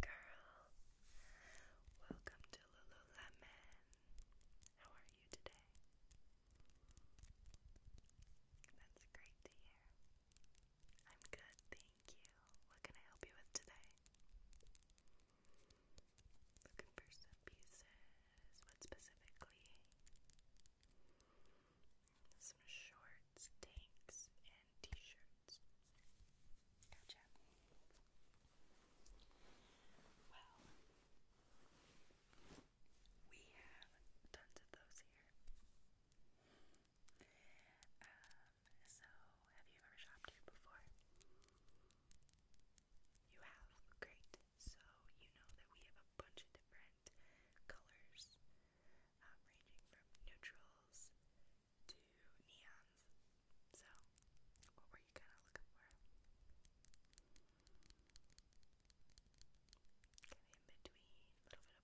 Girl, welcome to Lululemon. How are you today? That's great to hear. I'm good, thank you. What can I help you with today? Looking for some pieces. What specifically? Some shorts, tanks, and t-shirts. Well, we have tons of those here. Um, so, have you ever shopped here before? You have? Great. So, you know that we have a bunch of different colors, um, ranging from neutrals to neons. So, what were you kind of looking for? Kind of in between, a little bit of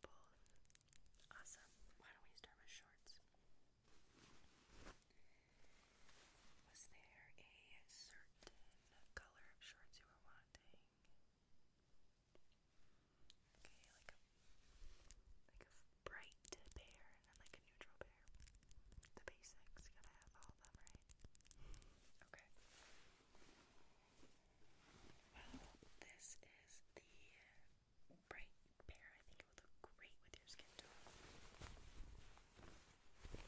both. Awesome. Why don't we start with shorts? Was there a certain color of shorts you were wanting? Okay, like a like a bright pear and then like a neutral pear. The basics, you gotta have all of them, right? Okay. Well, this is the bright pear. I think it would look great with your skin tone. These are the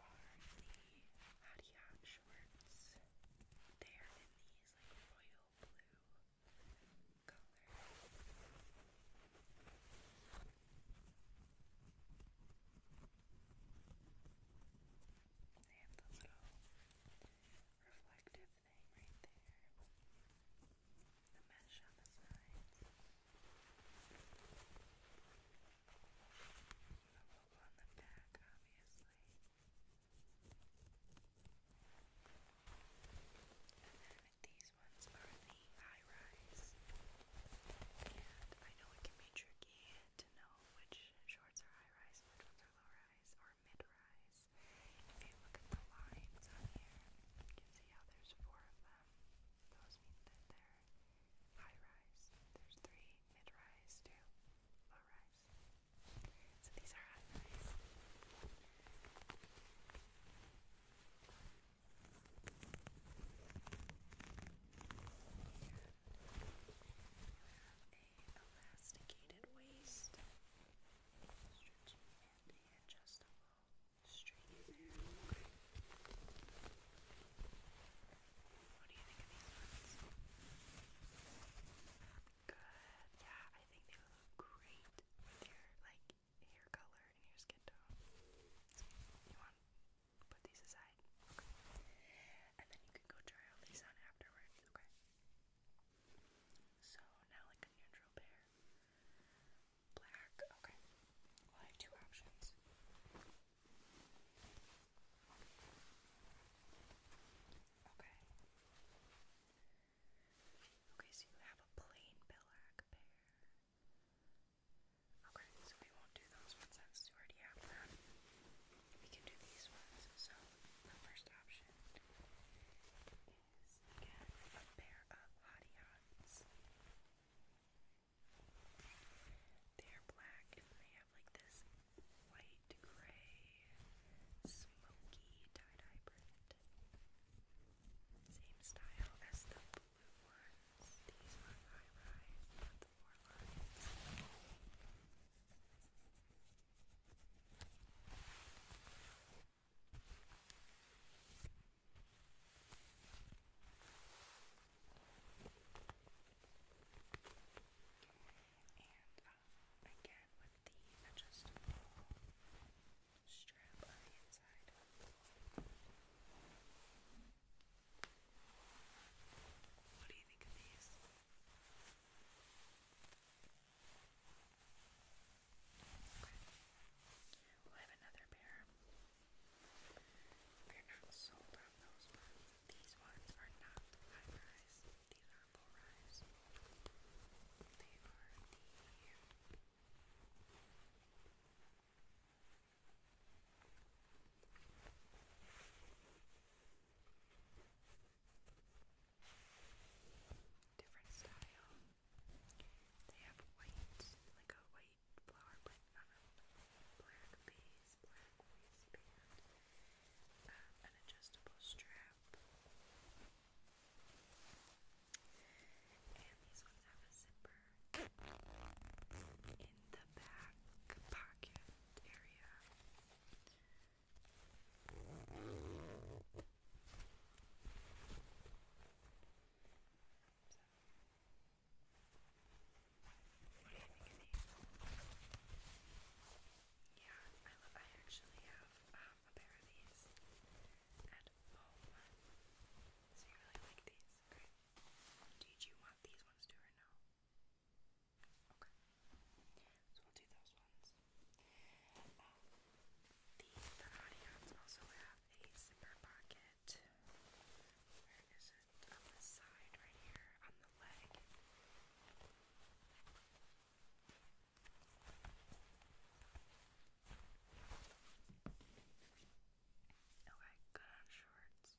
Hottie shorts. They're in these like royal blue colors. They have the little reflective thing right there. The mesh on the sides available on the back, obviously. And then these ones are the high rise. And I know it can be tricky to know which shorts are high rise, which ones are low rise, or mid rise. If you look at the lines on here, you can see how there's four of them. Those mean that they're high rise. There's three mid rise, two low rise. So these are high rise. And have a elasticated waist, stretchy and adjustable. Straight what do you think of these ones? Good. Yeah, I think they look great with your like hair color and your skin tone. you want put these aside, okay? And then you can go try all these on afterwards, okay? So now like a neutral pair. Black, okay. I have two options. Okay. Okay, so you have a plain Bellac pair. Okay, so we won't do those ones since already have them. We can do these ones. So the first option is again a pair of hottie they are black and they have like this white, gray, smoky tie-dye print. Same style as the blue ones. These are high-rise, not the four lines. And again with the adjustable strap on the inside. What do you think of these? we have another pair. We're not sold on those ones. These ones are not high rise, these are low rise. They are the different style they have white, like a white flower print black base, black waistband, um, an adjustable strap. And these ones have a zipper in the back pocket area. Yeah, I, I actually have um, a pair of these at home. So you really like these, right? Did you want these ones too or no? Okay. So we'll do those ones. Um, the the audience also have have a zipper pocket. Where is it? On the side, right here, on the leg. Okay, good on shorts.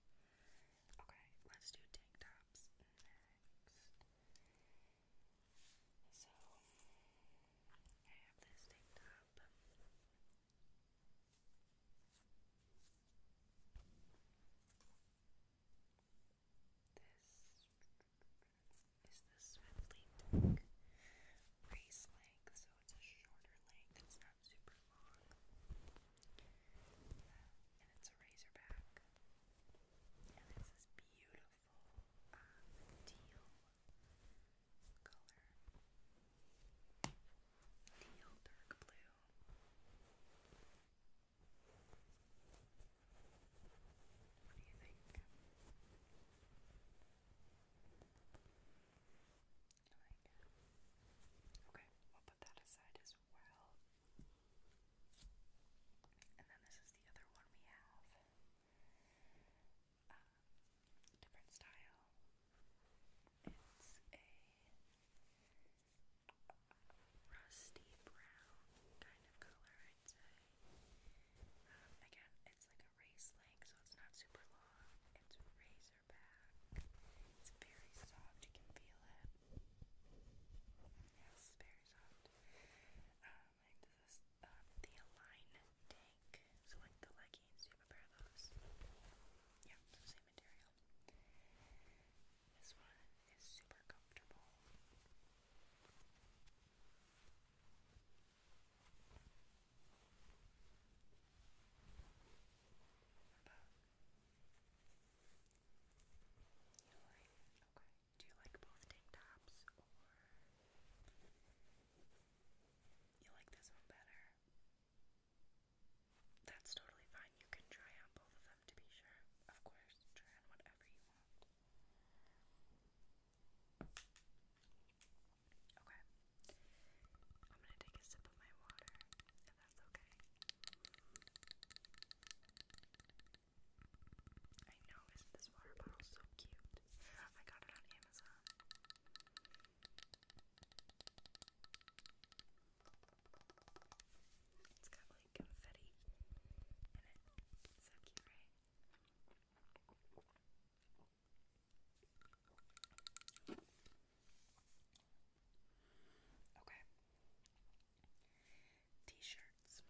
Okay, let's do tank tops next. So, I have this tank top. This is the Swiftly length, so it's a shorter length, it's not super long. and it's a razorback. And it's beautiful beautiful um, teal color. Teal dark blue. What do you think? Okay, we'll put that aside as well. And then this is the other one we have um, different style. It's a rusty brown kind of color, I'd say. again, it's like a race length, so it's not super long. It's razor back. It's very soft. You can feel it. Yes, very soft. Um, um, the Align So like the leggings, you have a pair of those. Yeah, same material. This one is super comfortable. about you like? Okay. Do you like both tank tops or you like this one better? That's totally fine. You can try on both of them to be sure. Of course, try on whatever you want. Okay. I'm gonna take a sip of my water, if that's okay. I know, isn't this water bottle so cute? I got it on Amazon. It's got like confetti in it. so cute, right? Okay. T-shirts.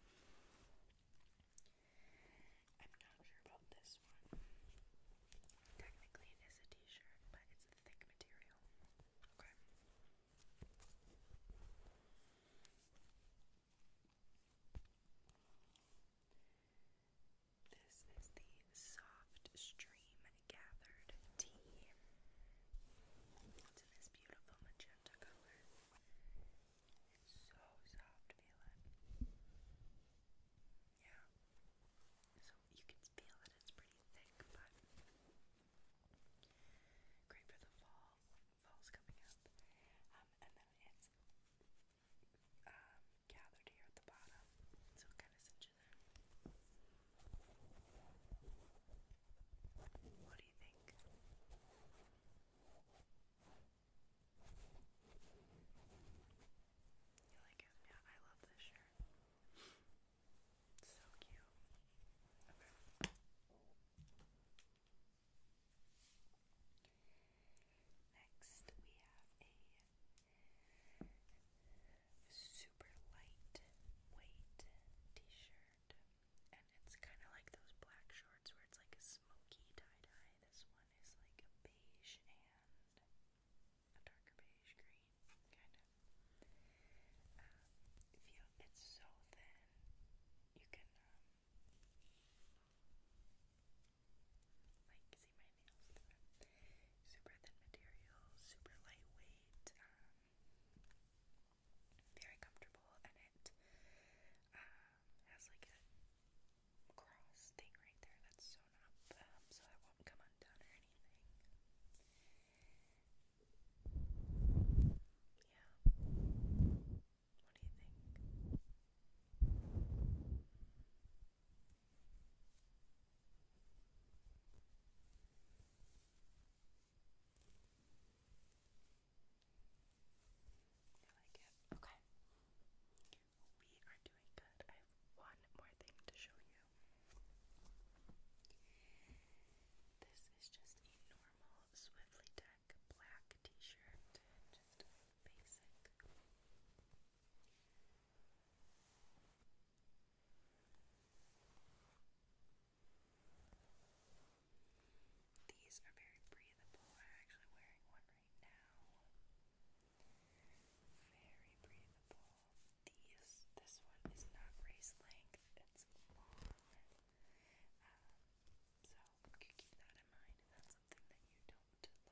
I'm not sure about this one. Technically, it is a T-shirt, but it's a thick material. Okay. This is the Soft Stream Gathered Tea. It's in this beautiful magenta color. It's so soft feeling. Yeah. So you can feel that it's pretty thick, but great for the fall. Fall's coming up. Um, and then it's um, gathered here at the bottom. So it kind of cinches in. What you like it? Yeah, I love this shirt. so cute. Next, we have a super light weight t-shirt shirt, and it's kind of like those black shorts where it's like a smoky tie dye. This one is like a beige and a darker beige green, kind of. Um, you, it's so thin, you can um, like see my nails Super thin material, super lightweight. Um, very comfortable, and it um, has like a cross thing right there that's sewn up, um, so it won't come undone or anything. Yeah. What do you think? You Okay. We are doing good. I have one more thing to show you. This is just a normal Swiftly Deck black t shirt. Just basic. These are very breathable. I'm actually wearing one right now. Very breathable. These, this one is not race length, it's long. Um, so you keep that in mind if that's something that you don't like.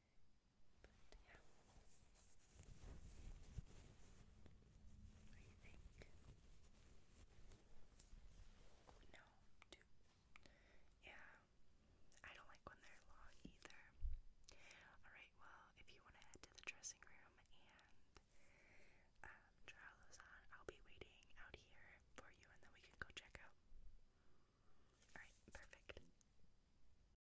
But yeah. What do you think? Oh, no, too. Yeah, I don't like when they're long either. Alright, well, if you want to head to the dressing room and um, try all those on, I'll be waiting out here for you and then we can go check out. Alright, perfect.